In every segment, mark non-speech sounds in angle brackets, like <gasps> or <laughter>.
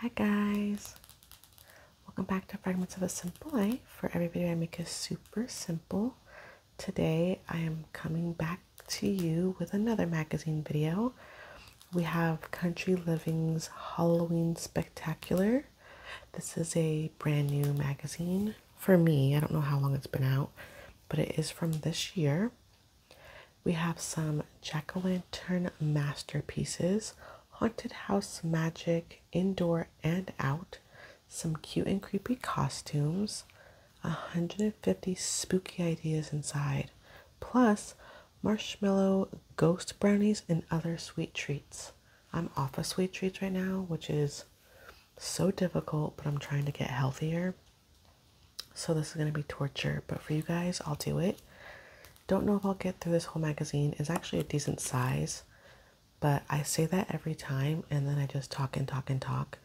Hi guys! Welcome back to Fragments of a Simple Life. For every video I make is super simple. Today I am coming back to you with another magazine video. We have Country Living's Halloween Spectacular. This is a brand new magazine for me. I don't know how long it's been out, but it is from this year. We have some jack o' lantern masterpieces, haunted house magic, indoor and out, some cute and creepy costumes, 150 spooky ideas inside, plus marshmallow ghost brownies and other sweet treats. I'm off of sweet treats right now, which is so difficult, but I'm trying to get healthier. So this is going to be torture, but for you guys, I'll do it. Don't know if I'll get through this whole magazine. It's actually a decent size, but I say that every time and then I just talk and talk and talk.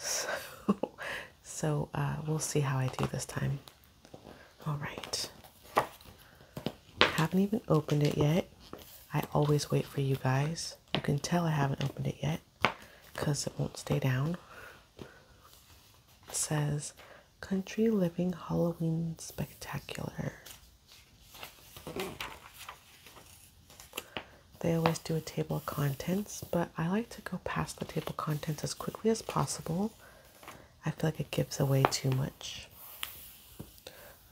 <laughs> So, so uh, we'll see how I do this time. All right. Haven't even opened it yet. I always wait for you guys. You can tell I haven't opened it yet because it won't stay down. It says Country Living Halloween Spectacular. They always do a table of contents, but I like to go past the table of contents as quickly as possible. I feel like it gives away too much.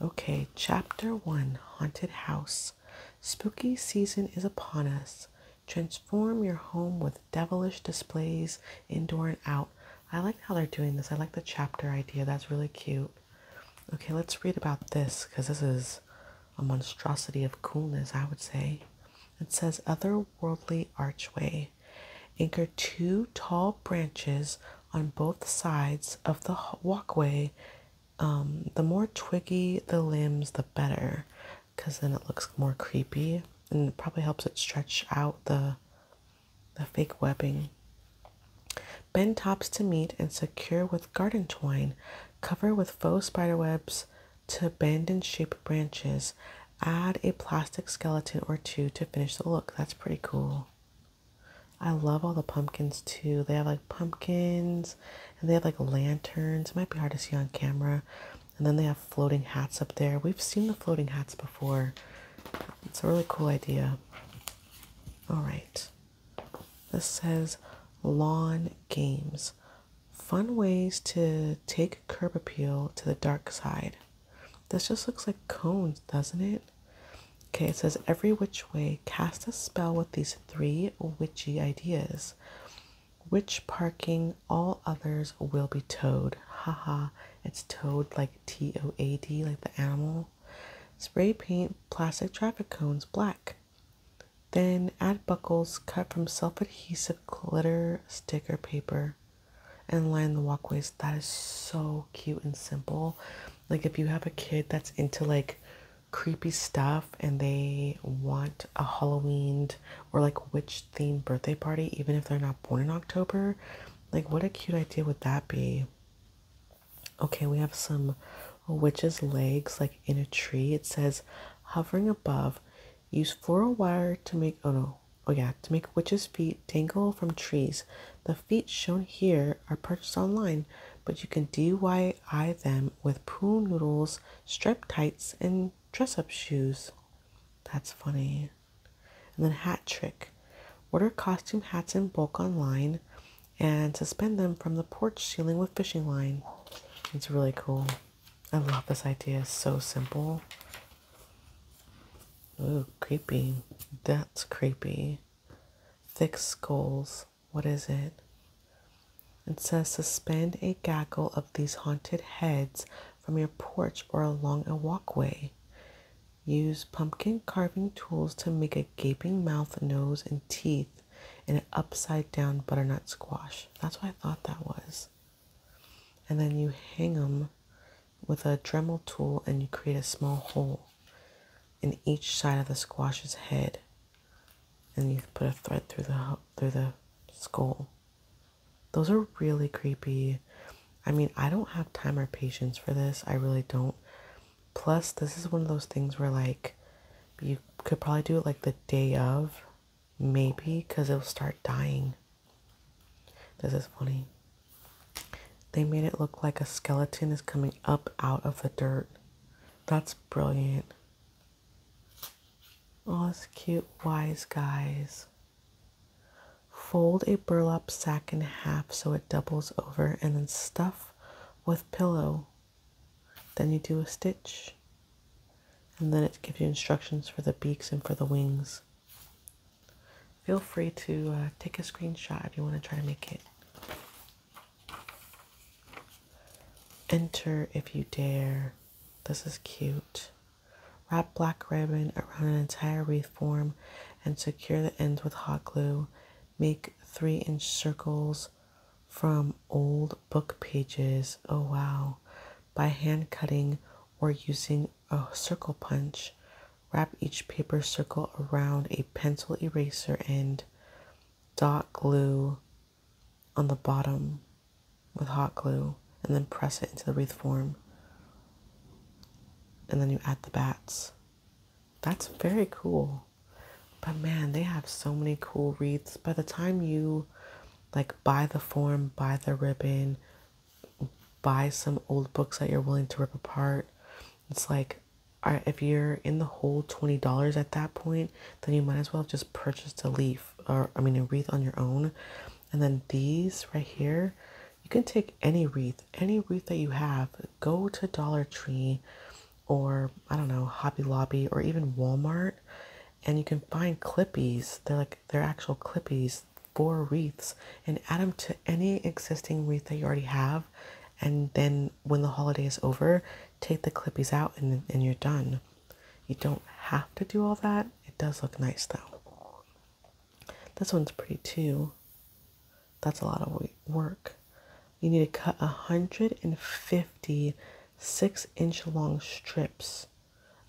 Okay, Chapter 1 Haunted House. Spooky season is upon us. Transform your home with devilish displays indoor and out. I like how they're doing this. I like the chapter idea. That's really cute. Okay, let's read about this because this is a monstrosity of coolness, I would say. It says Otherworldly Archway. Anchor two tall branches on both sides of the walkway. Um, the more twiggy the limbs, the better because then it looks more creepy and it probably helps it stretch out the the fake webbing. Bend tops to meet and secure with garden twine. Cover with faux spider webs to bend and shape branches. Add a plastic skeleton or two to finish the look. That's pretty cool. I love all the pumpkins too. They have like pumpkins and they have like lanterns. It might be hard to see on camera, and then they have floating hats up there. We've seen the floating hats before. It's a really cool idea. All right. This says lawn games. Fun ways to take curb appeal to the dark side. This just looks like cones, doesn't it? Okay, it says every which way, cast a spell with these three witchy ideas which parking all others will be towed. Haha, it's towed like T O A D, like the animal. Spray paint plastic traffic cones black. Then add buckles cut from self adhesive glitter sticker paper and line the walkways. That is so cute and simple. Like, if you have a kid that's into like creepy stuff and they want a Halloween or like witch beach themed birthday party, even if they're not born in October. Like, what a cute idea would that be? Okay, we have some witches' legs, like in a tree. It says, hovering above, use floral wire to make, oh no, oh yeah, to make witches' feet dangle from trees. The feet shown here are purchased online, but you can DIY them with pool noodles, striped tights, and dress up shoes. That's funny. And then hat trick. Order costume hats in bulk online and suspend them from the porch ceiling with fishing line. It's really cool. I love this idea. so simple. Ooh, creepy. That's creepy. Thick skulls. What is it? and says suspend a gaggle of these haunted heads from your porch or along a walkway. Use pumpkin carving tools to make a gaping mouth, nose, and teeth in an upside down butternut squash. That's what I thought that was. And then you hang them with a Dremel tool and you create a small hole in each side of the squash's head. And you put a thread through the through the skull. Those are really creepy. I mean, I don't have time or patience for this. I really don't. Plus, this is one of those things where, like, you could probably do it like the day of, maybe, because it'll start dying. This is funny. They made it look like a skeleton is coming up out of the dirt. That's brilliant. Oh, Us cute wise guys. Fold a burlap sack in half so it doubles over and then stuff with pillow. Then you do a stitch. And then it gives you instructions for the beaks and for the wings. Feel free to uh, take a screenshot if you want to try to make it. Enter if you dare. This is cute. Wrap black ribbon around an entire wreath form and secure the ends with hot glue. Make three inch circles from old book pages. Oh wow. By hand cutting or using a circle punch. Wrap each paper circle around a pencil eraser and dot glue on the bottom with hot glue and then press it into the wreath form. And then you add the bats. That's very cool. But man, they have so many cool wreaths. By the time you like buy the form, buy the ribbon, buy some old books that you're willing to rip apart, it's like if you're in the whole $20 at that point, then you might as well have just purchased a leaf or I mean a wreath on your own. And then these right here, you can take any wreath, any wreath that you have, go to Dollar Tree or I don't know, Hobby Lobby or even Walmart and you can find clippies. They're like they're actual clippies for wreaths and add them to any existing wreath that you already have and then when the holiday is over, take the clippies out and, and you're done. You don't have to do all that. It does look nice though. This one's pretty too. That's a lot of work. You need to cut 150 six inch long strips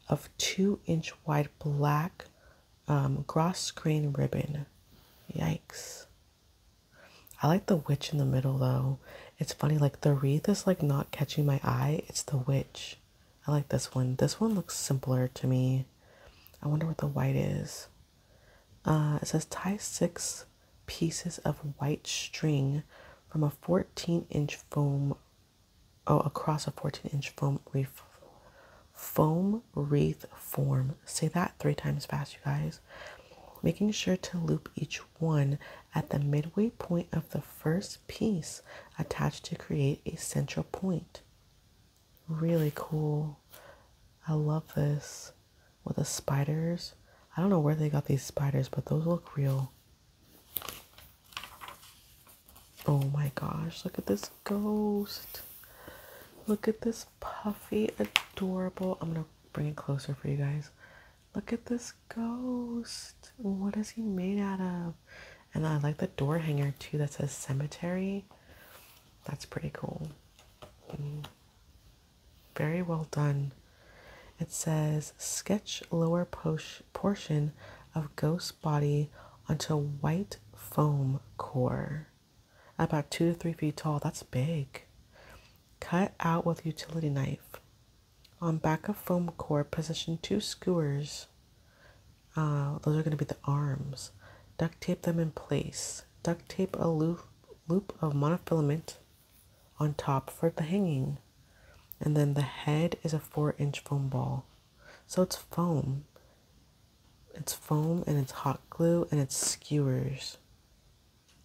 of two inch wide black um, cross ribbon. Yikes. I like the witch in the middle though it's funny like the wreath is like not catching my eye it's the witch i like this one this one looks simpler to me i wonder what the white is uh, it says tie six pieces of white string from a 14 inch foam oh across a 14 inch foam reef foam wreath form say that three times fast you guys making sure to loop each 1 at the midway point of the first piece attached to create a central point. Really cool. I love this with the spiders. I don't know where they got these spiders, but those look real. Oh my gosh, look at this ghost. Look at this puffy, adorable. I'm going to bring it closer for you guys. Look at this ghost. What is he made out of? And I like the door hanger too that says cemetery. That's pretty cool. Mm. Very well done. It says sketch lower portion of ghost body onto white foam core. About two to three feet tall. That's big. Cut out with utility knife. On back of foam core, position two skewers. Uh, those are going to be the arms. Duct tape them in place. Duct tape a loop, loop of monofilament on top for the hanging. And then the head is a four inch foam ball. So it's foam. It's foam and it's hot glue and it's skewers.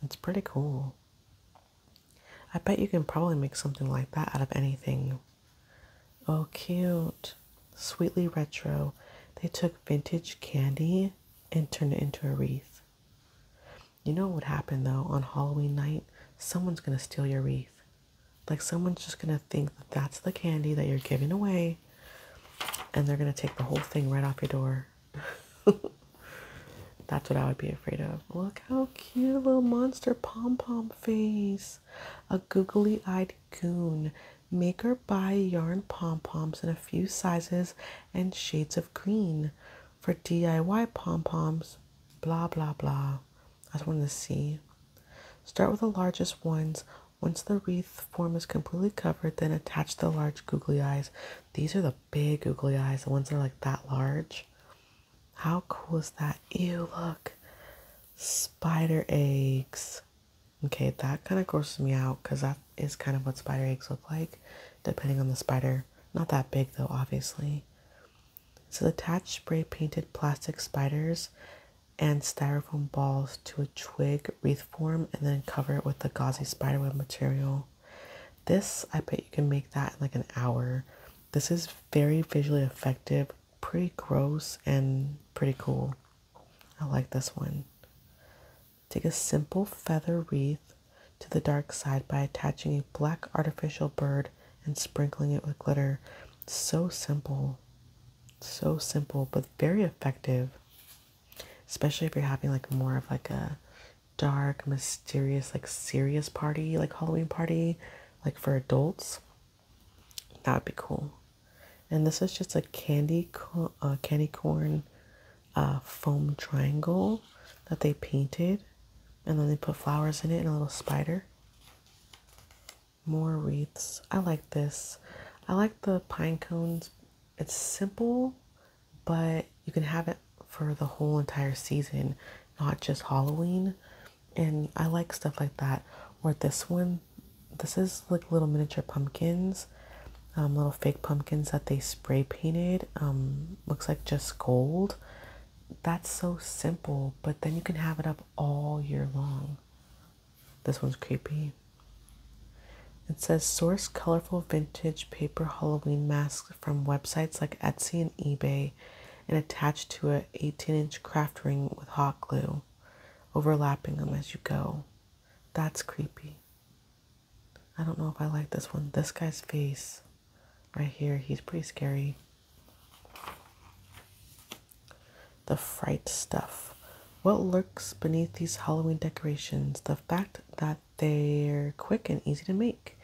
It's pretty cool. I bet you can probably make something like that out of anything. Oh, cute. Sweetly retro. They took vintage candy and turned it into a wreath. You know what would happen though on Halloween night? Someone's gonna steal your wreath. Like someone's just gonna think that that's the candy that you're giving away and they're gonna take the whole thing right off your door. <laughs> That's what I would be afraid of. Look how cute, little monster pom pom face. A googly eyed goon. Maker or buy yarn pom poms in a few sizes and shades of green for DIY pom poms. Blah blah blah. I just wanted to see. Start with the largest ones. Once the wreath form is completely covered, then attach the large googly eyes. These are the big googly eyes, the ones that are like that large. How cool is that? Ew, look. Spider eggs. Okay, that kind of grosses me out because that is kind of what spider eggs look like, depending on the spider. Not that big though, obviously. So attach spray painted plastic spiders and styrofoam balls to a twig wreath form and then cover it with the gauzy spiderweb material. This, I bet you can make that in like an hour. This is very visually effective, pretty gross, and pretty cool. I like this one. Take a simple feather wreath to the dark side by attaching a black artificial bird and sprinkling it with glitter. So simple. So simple, but very effective. Especially if you're having like more of like a dark, mysterious, like serious party, like Halloween party, like for adults, that would be cool. And this is just a candy, uh, candy corn uh, foam triangle that they painted. And then they put flowers in it and a little spider. More wreaths. I like this. I like the pine cones. It's simple but you can have it for the whole entire season, not just Halloween. And I like stuff like that. Or this one, this is like little miniature pumpkins, um, little fake pumpkins that they spray painted. Um, looks like just gold. That's so simple, but then you can have it up all year long. This one's creepy. It says source colorful vintage paper Halloween mask from websites like Etsy and eBay and attached to a 18 inch craft ring with hot glue, overlapping them as you go. That's creepy. I don't know if I like this one. This guy's face right here, he's pretty scary. The fright stuff. What lurks beneath these Halloween decorations? The fact that they're quick and easy to make.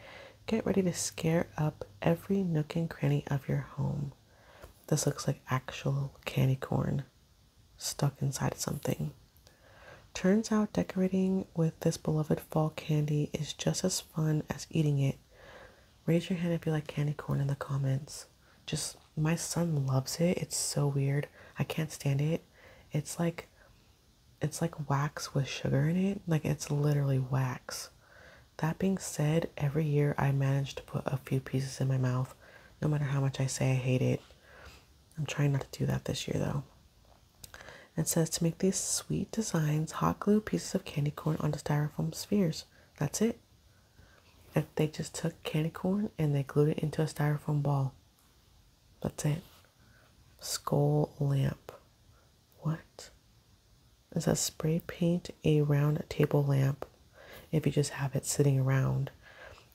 Get ready to scare up every nook and cranny of your home. This looks like actual candy corn stuck inside something. Turns out decorating with this beloved fall candy is just as fun as eating it. Raise your hand if you like candy corn in the comments. Just my son loves it. It's so weird. I can't stand it. It's like it's like wax with sugar in it. Like it's literally wax. That being said, every year I manage to put a few pieces in my mouth, no matter how much I say I hate it. I'm trying not to do that this year though. It says to make these sweet designs, hot glue pieces of candy corn onto styrofoam spheres. That's it. they just took candy corn and they glued it into a styrofoam ball. That's it. Skull lamp. What? It says spray paint a round table lamp if you just have it sitting around.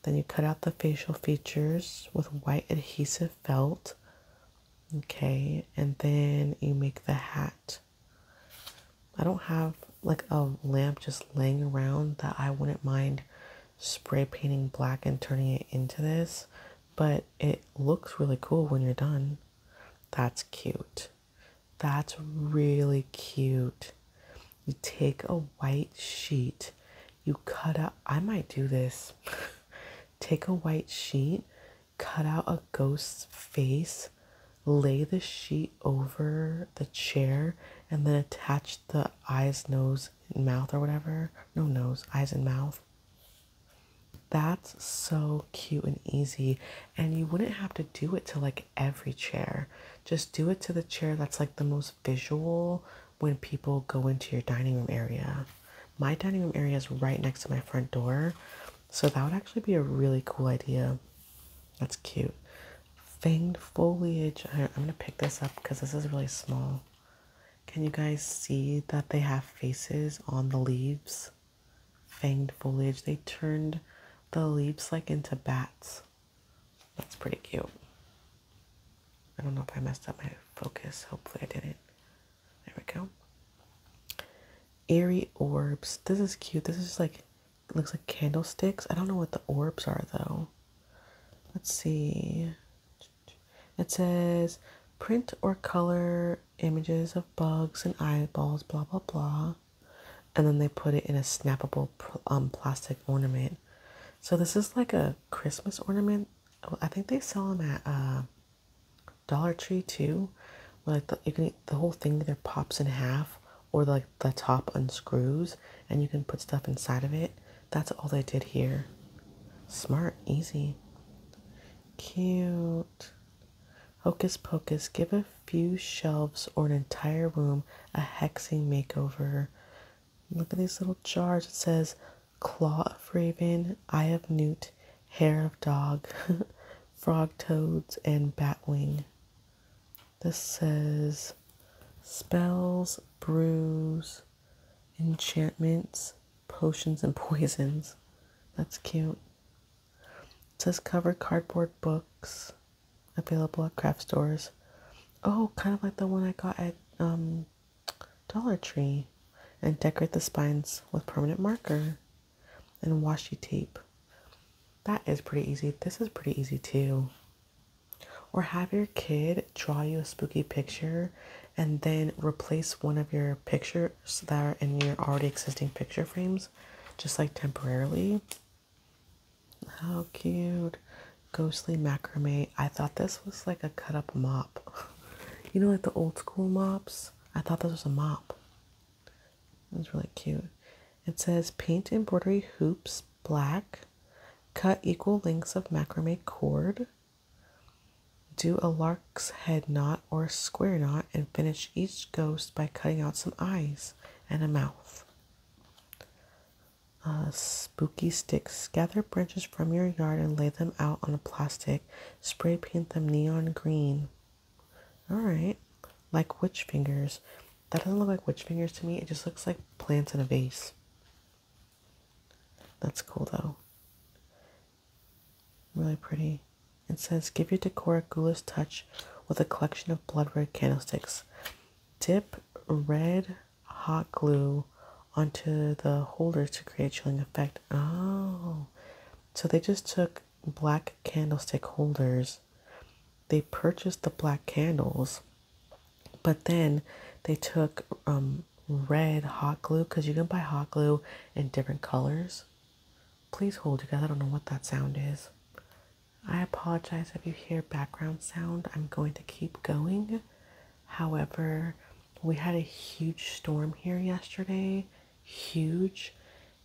Then you cut out the facial features with white adhesive felt. Okay, and then you make the hat. I don't have like a lamp just laying around that I wouldn't mind spray painting black and turning it into this, but it looks really cool when you're done. That's cute. That's really cute. You take a white sheet, you cut out, I might do this. <laughs> take a white sheet, cut out a ghost's face, lay the sheet over the chair, and then attach the eyes, nose, mouth or whatever. No nose, eyes and mouth. That's so cute and easy. And you wouldn't have to do it to like every chair. Just do it to the chair that's like the most visual when people go into your dining room area. My dining room area is right next to my front door. So that would actually be a really cool idea. That's cute. Fanged foliage. I, am going to pick this up because this is really small. Can you guys see that they have faces on the leaves? Fanged foliage. They turned the leaves like into bats. That's pretty cute. I don't know if I messed up my focus. Hopefully I didn't. There we go. Airy orbs. This is cute. This is like, looks like candlesticks. I don't know what the orbs are though. Let's see. It says print or color images of bugs and eyeballs, blah, blah, blah. And then they put it in a snappable um, plastic ornament. So this is like a Christmas ornament. I think they sell them at uh, Dollar Tree too. Like you can the whole thing there pops in half or like the top unscrews and you can put stuff inside of it. That's all they did here. Smart, easy. Cute. Hocus Pocus, give a few shelves or an entire room a hexing makeover. Look at these little jars. It says Claw of Raven, Eye of Newt, Hair of Dog, <laughs> Frog Toads, and bat wing. This says Spells, Brews, enchantments, potions, and <laughs> poisons. That's cute. It says cover cardboard books available at craft stores. Oh, kind of like the one I got at um, Dollar Tree. And decorate the spines with permanent marker and washi tape. That is pretty easy. This is pretty easy too. Or have your kid draw you a spooky picture and then replace one of your pictures that are in your already existing picture frames, just like temporarily. How cute. Ghostly macrame. I thought this was like a cut up mop. <laughs> You know, like the old school mops? I thought this was a mop. It's really cute. It says paint embroidery hoops black, cut equal lengths of macrame cord, do a lark's head knot or square knot, and finish each ghost by cutting out some eyes and a mouth. Uh, spooky sticks. Gather branches from your yard and lay them out on a plastic. Spray paint them neon green. Alright. Like witch fingers. That doesn't look like witch fingers to me. It just looks like plants in a vase. That's cool though. Really pretty. It says give your decor a ghoulish touch with a collection of blood red candlesticks. Dip red hot glue onto the holders to create chilling effect. Oh. So they just took black candlestick holders. They purchased the black candles but then they took um, red hot glue because you can buy hot glue in different colors. Please hold you guys. I don't know what that sound is. I apologize if you hear background sound. I'm going to keep going. However, we had a huge storm here yesterday. Huge.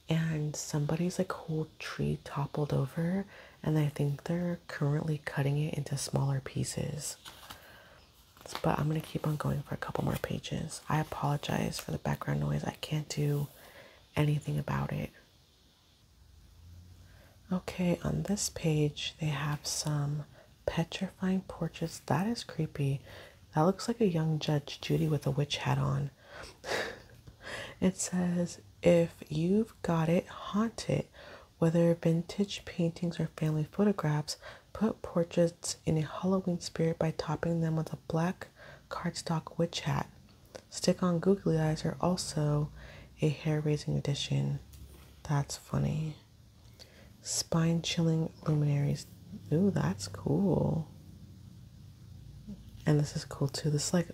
And somebody's like whole tree toppled over and I think they're currently cutting it into smaller pieces. But I'm going to keep on going for a couple more pages. I apologize for the background noise. I can't do anything about it. Okay, on this page, they have some petrifying portraits. That is creepy. That looks like a young Judge Judy with a witch hat on. <laughs> it says, if you've got it, haunt it. Whether vintage paintings or family photographs, put portraits in a Halloween spirit by topping them with a black cardstock witch hat. Stick on googly eyes are also a hair raising addition. That's funny. Spine chilling luminaries. Ooh, that's cool. And this is cool too. This like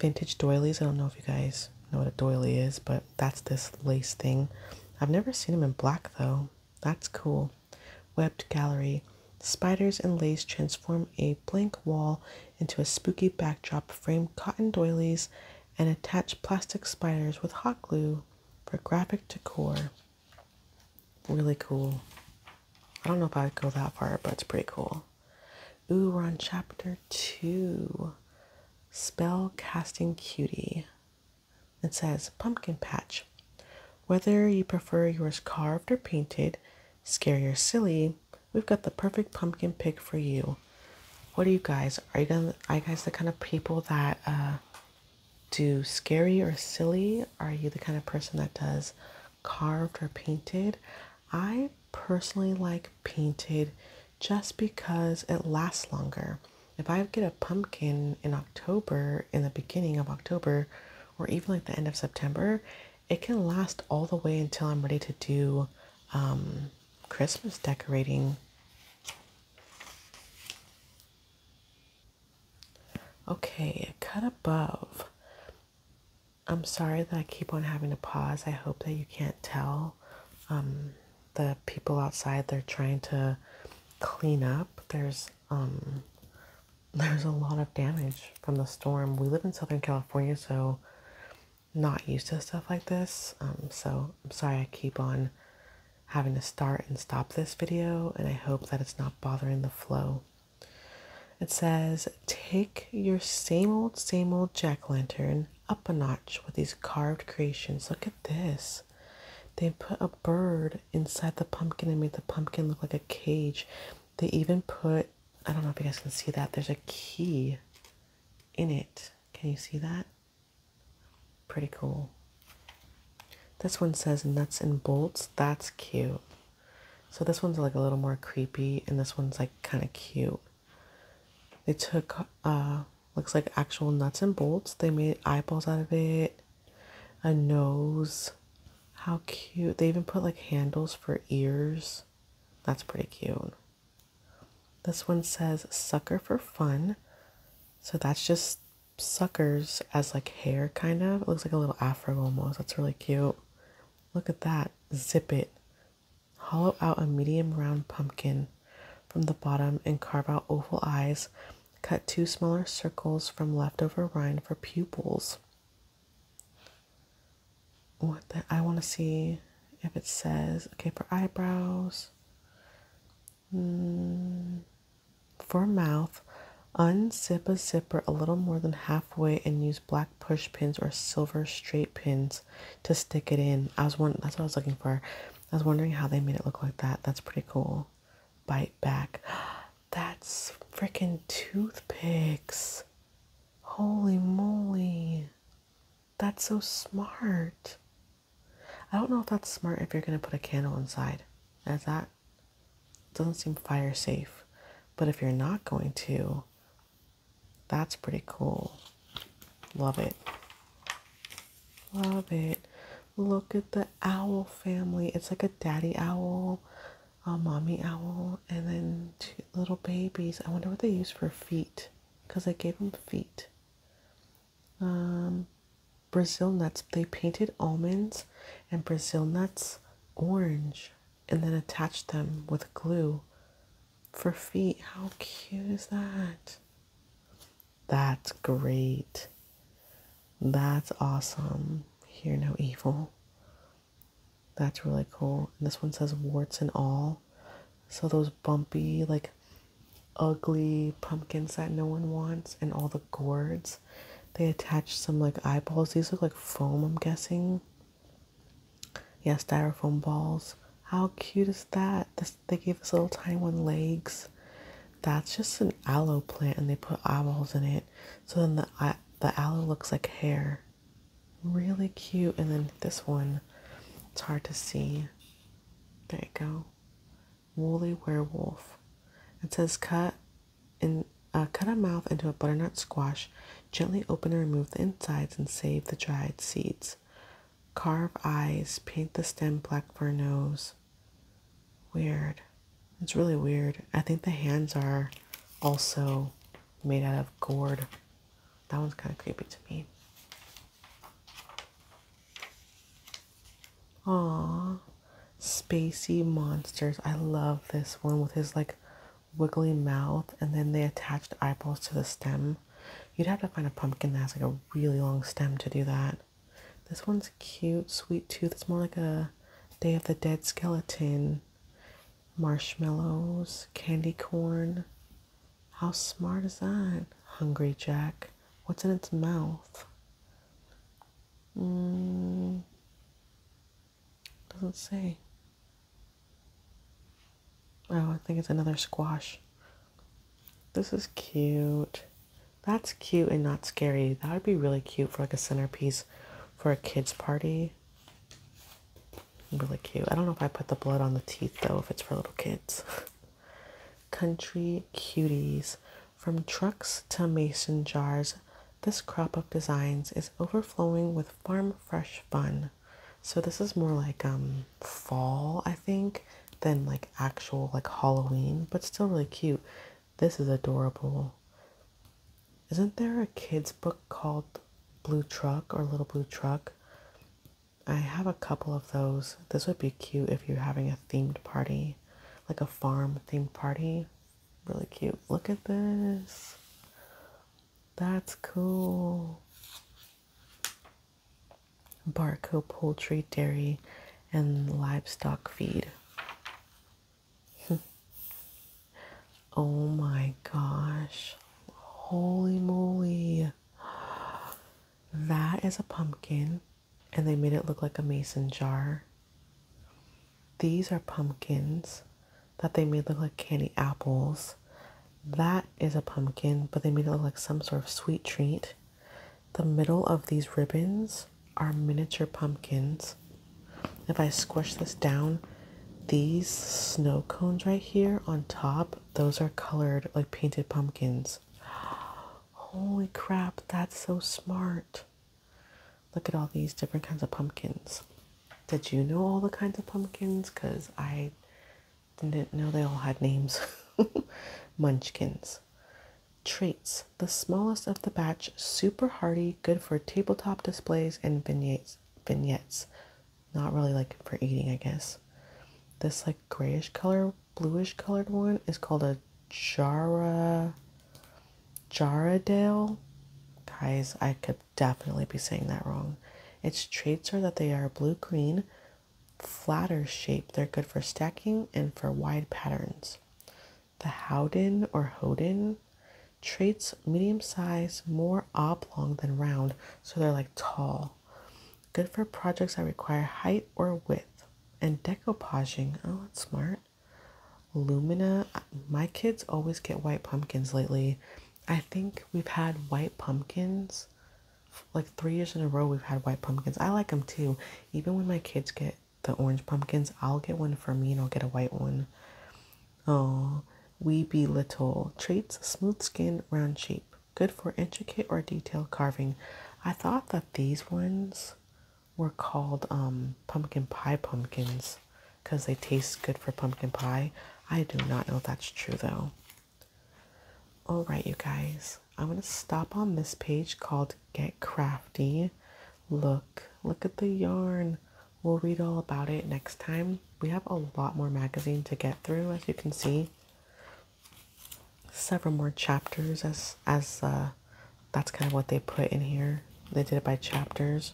vintage doilies. I don't know if you guys know what a doily is, but that's this lace thing. I've never seen them in black though. That's cool. Webbed gallery. Spiders and lace transform a blank wall into a spooky backdrop. Frame cotton doilies and attach plastic spiders with hot glue for graphic decor. Really cool. I don't know if I'd go that far, but it's pretty cool. Ooh, we're on chapter two Spell Casting Cutie. It says Pumpkin Patch. Whether you prefer yours carved or painted, scary or silly, we've got the perfect pumpkin pick for you. What are you guys? Are you, guys the kind of people that uh, do scary or silly? Are you the kind of person that does carved or painted? I personally like painted just because it lasts longer. If I get a pumpkin in October, in the beginning of October, or even like the end of September, it can last all the way until I'm ready to do um, Christmas decorating. Okay, cut above. I'm sorry that I keep on having to pause. I hope that you can't tell. Um, the people outside they're trying to clean up. There's um, <laughs> there's a lot of damage from the storm. We live in Southern California, so not used to stuff like this. Um, so I'm sorry I keep on having to start and stop this video, and I hope that it's not bothering the flow. It says, take your same old, same old jack lantern up a notch with these carved creations. Look at this. They put a bird inside the pumpkin and made the pumpkin look like a cage. They even put, I don't know if you guys can see that, there's a key in it. Can you see that? Pretty cool. This one says nuts and bolts. That's cute. So this one's like a little more creepy and this one's like kind of cute. They took uh looks like actual nuts and bolts. They made eyeballs out of it, a nose. How cute. They even put like handles for ears. That's pretty cute. This one says sucker for fun. So that's just suckers as like hair kind of. It looks like a little afro almost. That's really cute. Look at that. Zip it. Hollow out a medium round pumpkin from the bottom and carve out oval eyes. Cut two smaller circles from leftover rind for pupils. What the, I want to see if it says okay for eyebrows. Hmm, for mouth, unzip a zipper a little more than halfway and use black push pins or silver straight pins to stick it in. I was one that's what I was looking for. I was wondering how they made it look like that. That's pretty cool. Bite back. <gasps> That's freaking toothpicks. Holy moly. That's so smart. I don't know if that's smart if you're going to put a candle inside. As that doesn't seem fire safe. But if you're not going to, that's pretty cool. Love it. Love it. Look at the owl family. It's like a daddy owl, a mommy owl, and then two little babies. I wonder what they use for feet because I gave them feet. Um, Brazil nuts. They painted almonds and Brazil nuts orange and then attach them with glue for feet. How cute is that? That's great. That's awesome. Hear no evil. That's really cool. And this one says warts and all. So those bumpy, like ugly pumpkins that no one wants and all the gourds. They attach some like eyeballs. These look like foam, I'm guessing. Yeah, styrofoam balls. How cute is that? This, they gave us little tiny one legs. That's just an aloe plant, and they put eyeballs in it. So then the the aloe looks like hair. Really cute. And then this one, it's hard to see. There you go. Woolly werewolf. It says cut in uh, cut a mouth into a butternut squash, gently open and remove the insides and save the dried seeds. Carve eyes, paint the stem black for a nose. Weird. It's really weird. I think the hands are also made out of gourd. That one's kind of creepy to me. Aww. Spacey monsters. I love this one with his like wiggly mouth and then they attached eyeballs to the stem. You'd have to find a pumpkin that has like a really long stem to do that. This one's cute, sweet tooth. It's more like a Day of the Dead skeleton. Marshmallows, candy corn. How smart is that? Hungry Jack. What's in its mouth? Mm. Doesn't say. Oh, I think it's another squash. This is cute. That's cute and not scary. That would be really cute for like a centerpiece for a kid's party. Really cute. I don't know if I put the blood on the teeth though, if it's for little kids. <laughs> Country Cuties. From trucks to mason jars, this crop of designs is overflowing with farm fresh fun. So this is more like um fall, I think, than like actual like Halloween, but still really cute. This is adorable. Isn't there a kids book called Blue Truck or Little Blue Truck? I have a couple of those. This would be cute if you're having a themed party, like a farm themed party. Really cute. Look at this. That's cool. Barco poultry, dairy, and livestock feed. <laughs> oh my gosh. Holy moly. That is a pumpkin, and they made it look like a mason jar. These are pumpkins that they made look like candy apples. That is a pumpkin, but they made it look like some sort of sweet treat. The middle of these ribbons are miniature pumpkins. If I squish this down, these snow cones right here on top, those are colored like painted pumpkins. <gasps> Holy crap, that's so smart. Look at all these different kinds of pumpkins. Did you know all the kinds of pumpkins? Because I didn't know they all had names. <laughs> Munchkins. Traits the smallest of the batch, super hardy, good for tabletop displays and vignettes. Vignettes. Not really like for eating, I guess. This like grayish color, bluish colored one is called a Jara Jarredale, Guys, I could definitely be saying that wrong. Its traits are that they are blue green, flatter shape. They're good for stacking and for wide patterns. The Howden or Hoden traits medium size, more oblong than round, so they're like tall. Good for projects that require height or width. And decoupaging, oh, that's smart cart. Lumina, my kids always get white pumpkins lately. I think we've had white pumpkins like three years in a row. We've had white pumpkins. I like them too. Even when my kids get the orange pumpkins, I'll get one for me and I'll get a white one. Oh, we be little traits smooth skin, round shape, good for intricate or detailed carving. I thought that these ones were called um, pumpkin pie pumpkins because they taste good for pumpkin pie. I do not know if that's true though. All right, you guys, I'm going to stop on this page called Get Crafty. Look, look at the yarn. We'll read all about it next time. We have a lot more magazine to get through, as you can see. Several more chapters as as uh, that's kind of what they put in here. They did it by chapters.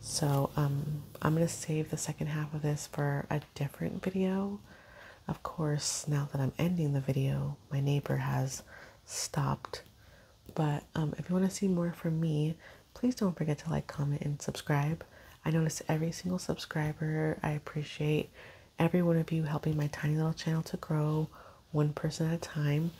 So um, I'm going to save the second half of this for a different video. Of course, now that I'm ending the video, my neighbor has stopped. But um, if you want to see more from me, please don't forget to like, comment, and subscribe. I notice every single subscriber. I appreciate every one of you helping my tiny little channel to grow one person at a time.